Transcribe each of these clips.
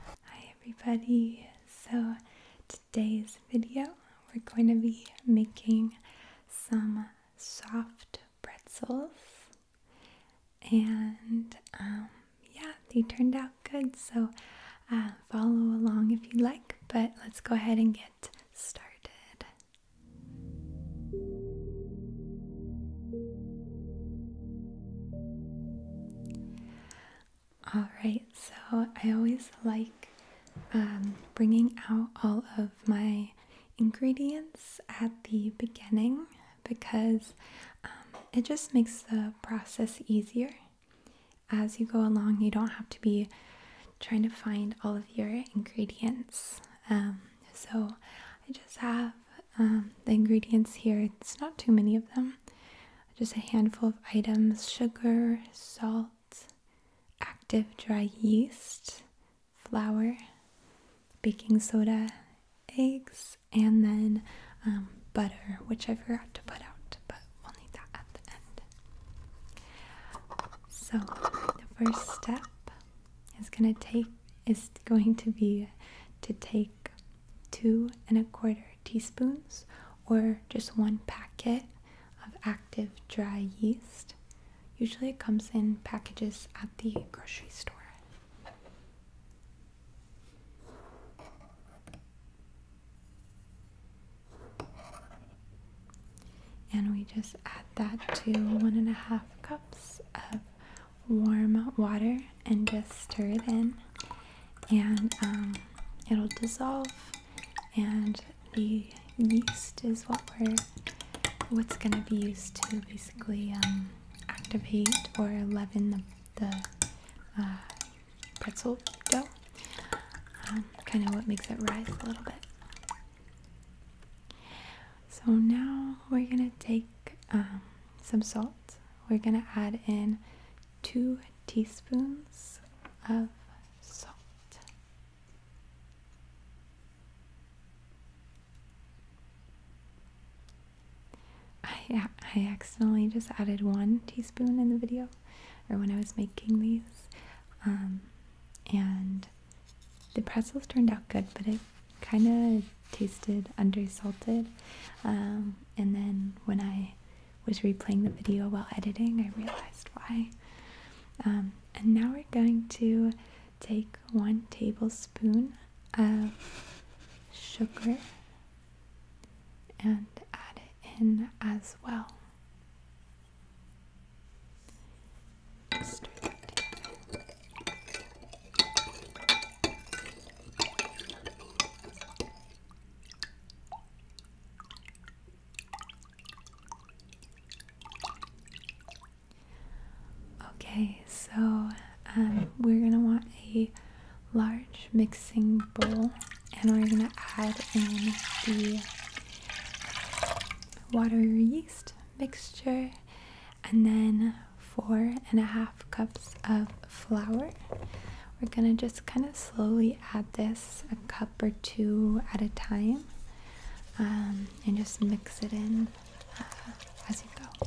Hi everybody! So today's video we're going to be making some soft pretzels and um, yeah, they turned out good. So uh, follow along if you'd like, but let's go ahead and get started. All right, so I always like um, bringing out all of my ingredients at the beginning because um, it just makes the process easier. As you go along, you don't have to be trying to find all of your ingredients. Um, so I just have um, the ingredients here. It's not too many of them, just a handful of items sugar, salt, active dry yeast, flour, baking soda, eggs, and then um, butter, which I forgot to put out, but we'll need that at the end. So the first step is going to take is going to be to take two and a quarter teaspoons or just one packet of active dry yeast. Usually it comes in packages at the grocery store. And we just add that to one and a half cups of warm water and just stir it in, and um, it'll dissolve. And the yeast is what we're what's gonna be used to basically um, activate or leaven the the uh, pretzel dough. Um, kind of what makes it rise a little bit. So now we're gonna take um, some salt. We're gonna add in two teaspoons of salt. I, I accidentally just added one teaspoon in the video or when I was making these. Um, and the pretzels turned out good, but it kind of tasted under salted. Um, and then when I was replaying the video while editing, I realized why. Um, and now we're going to take one tablespoon of sugar and add it in as well. Okay, so um, we're gonna want a large mixing bowl and we're going to add in the water yeast mixture and then four and a half cups of flour we're going to just kind of slowly add this a cup or two at a time um, and just mix it in uh, as you go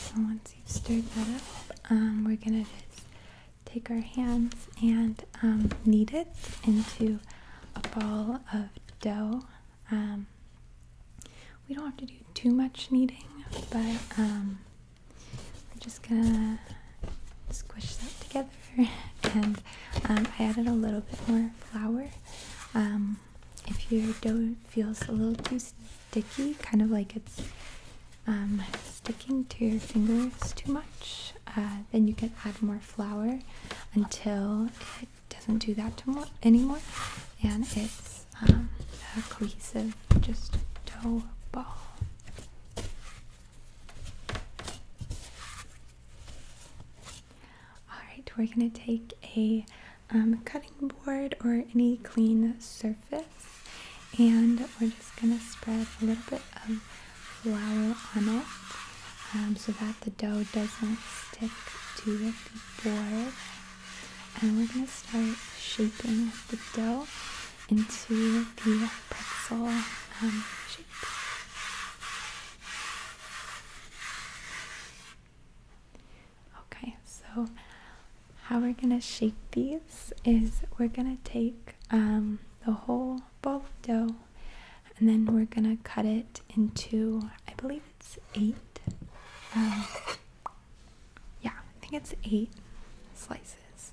so once you've stirred that up, um, we're gonna just take our hands and um, knead it into a ball of dough. Um, we don't have to do too much kneading, but we're just gonna squish that together, and um, I added a little bit more flour. Um, if your dough feels a little too sticky, kind of like it's um, sticking to your fingers too much, uh, then you can add more flour until it doesn't do that anymore, and it's a cohesive just dough ball. Alright, we're going to take a um, cutting board or any clean surface and we're just going to spread a little bit of flour on it um, so that the dough doesn't stick to the board. And we're going to start shaping the dough into the pretzel um, shape. Okay, so how we're gonna shape these is we're gonna take um, the whole ball of dough and then we're gonna cut it into, I believe it's eight. Um, yeah, I think it's eight slices.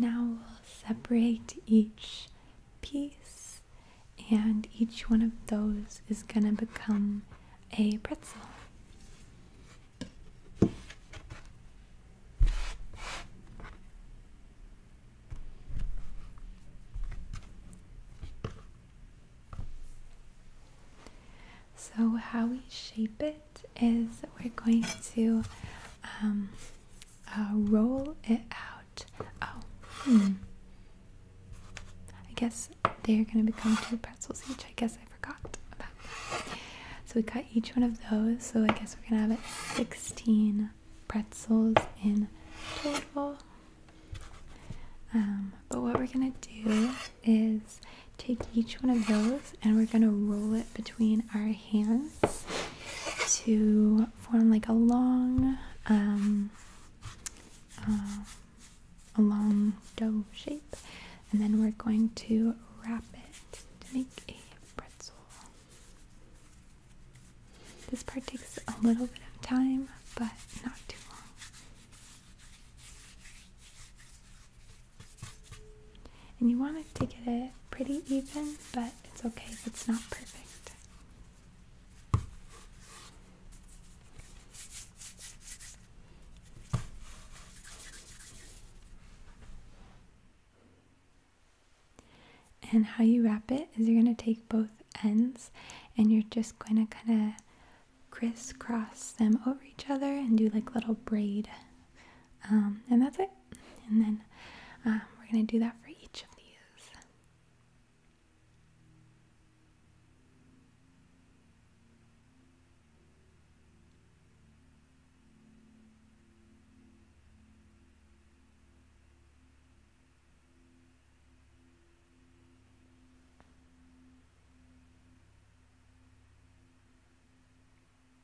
Now we'll separate each piece, and each one of those is going to become a pretzel. So, how we shape it is we're going to um, uh, roll it out. Oh, hmm. I guess they're going to become two pretzels each. I guess I forgot about that. So we cut each one of those. So I guess we're going to have 16 pretzels in total. Um, but what we're going to do is take each one of those and we're going to roll it between our hands to form like a long um, uh, a long dough shape and then we're going to wrap it to make a pretzel this part takes a little bit of time but not too long and you want it to get it pretty even, but it's okay if it's not perfect. And how you wrap it is you're going to take both ends and you're just going to kind of crisscross them over each other and do like little braid. Um, and that's it and then um, we're going to do that for each of these.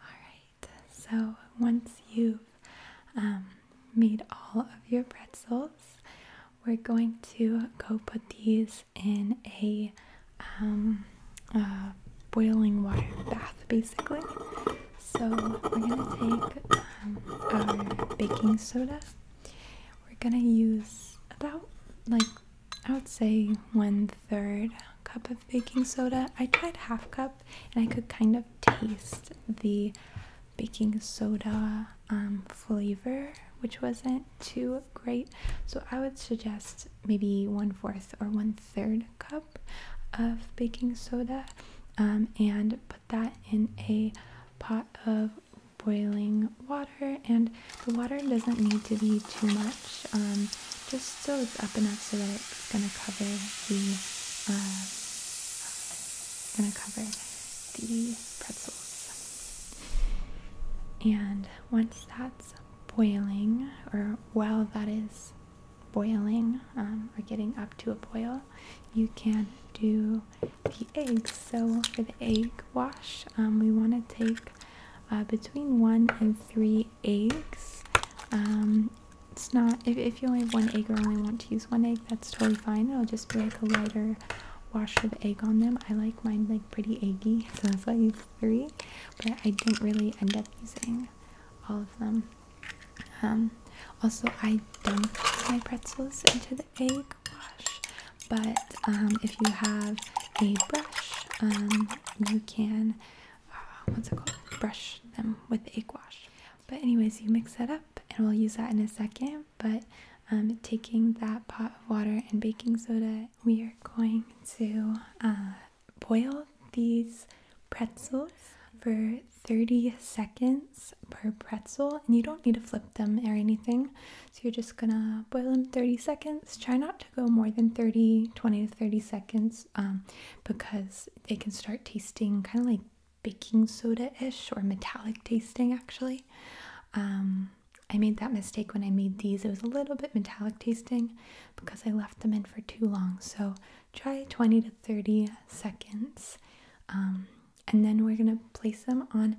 Alright, so once you've um, made all of your pretzels, we're going to go put these in a um, uh, boiling water bath basically. So we're gonna take um, our baking soda. We're gonna use about like I would say one third cup of baking soda. I tried half cup and I could kind of taste the baking soda um, flavor, which wasn't too great. So I would suggest maybe one fourth or one third cup of baking soda um, and put that in a pot of boiling water and the water doesn't need to be too much um, just so it's up enough so that it's going to cover the uh, going to cover the pretzels and once that's boiling, or while that is boiling um, or getting up to a boil, you can do the eggs. So for the egg wash, um, we want to take uh, between one and three eggs. Um, it's not if, if you only have one egg or only want to use one egg, that's totally fine. It'll just be like a lighter wash of egg on them. I like mine like pretty eggy, so that's why you three, but I didn't really end up using all of them. Um, also, I dunk my pretzels into the egg wash, but um, if you have a brush, um, you can uh, what's it called? Brush them with egg wash. But anyways, you mix that up, and we'll use that in a second. But taking that pot of water and baking soda, we are going to uh, boil these pretzels for 30 seconds per pretzel and you don't need to flip them or anything so you're just gonna boil them 30 seconds try not to go more than 30 20 to 30 seconds um, because they can start tasting kind of like baking soda-ish or metallic tasting actually um, i made that mistake when i made these it was a little bit metallic tasting because I left them in for too long. So try 20 to 30 seconds. Um, and then we're going to place them on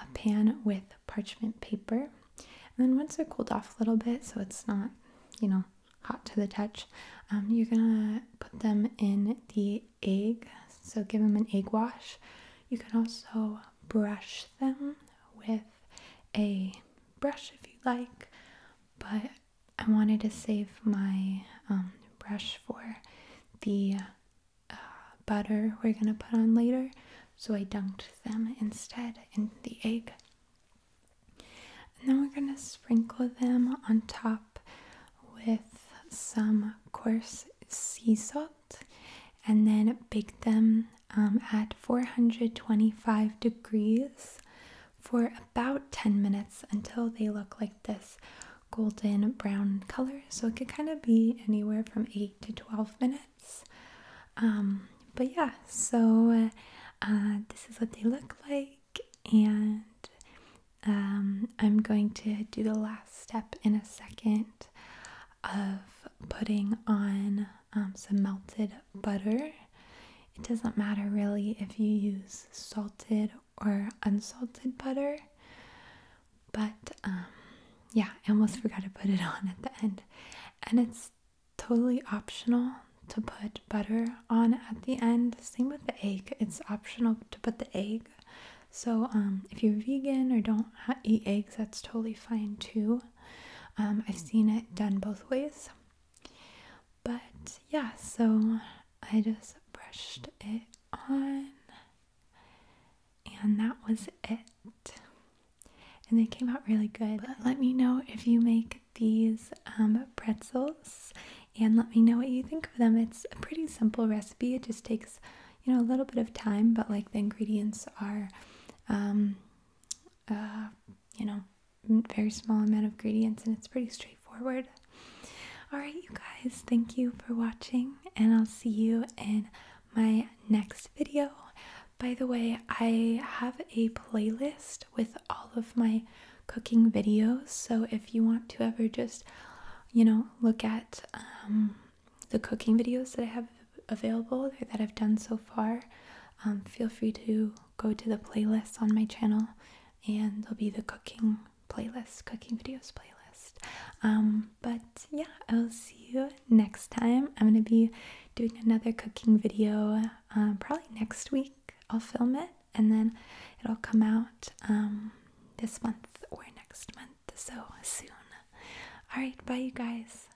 a pan with parchment paper. And then once they're cooled off a little bit, so it's not, you know, hot to the touch, um, you're going to put them in the egg. So give them an egg wash. You can also brush them with a brush if you like, but I wanted to save my um, brush for the uh, butter we're gonna put on later, so I dunked them instead in the egg. And then we're gonna sprinkle them on top with some coarse sea salt and then bake them um, at 425 degrees for about 10 minutes until they look like this golden brown color. So it could kind of be anywhere from 8 to 12 minutes. Um, but yeah, so uh, this is what they look like, and um, I'm going to do the last step in a second of putting on some melted butter. It doesn't matter really if you use salted or unsalted butter. But um, yeah, I almost forgot to put it on at the end. And it's totally optional to put butter on at the end. Same with the egg, it's optional to put the egg. So um, if you're vegan or don't eat eggs, that's totally fine too. Um, I've seen it done both ways. But yeah, so I just brushed it on, and that was it. And they came out really good. let me know if you make these um, pretzels and let me know what you think of them. It's a pretty simple recipe, it just takes you know a little bit of time, but like the ingredients are, um, uh, you know, very small amount of ingredients and it's pretty straightforward. Alright, you guys, thank you for watching, and I'll see you in my next video. By the way, I have a playlist with all of my cooking videos, so if you want to ever just, you know, look at um, the cooking videos that I have available or that I've done so far, um, feel free to go to the playlist on my channel and there'll be the cooking playlist, cooking videos playlist. Um, but yeah, I will see you next time. I'm going to be doing another cooking video uh, probably next week. I'll film it and then it'll come out um, this month or next month, so soon. All right, bye, you guys.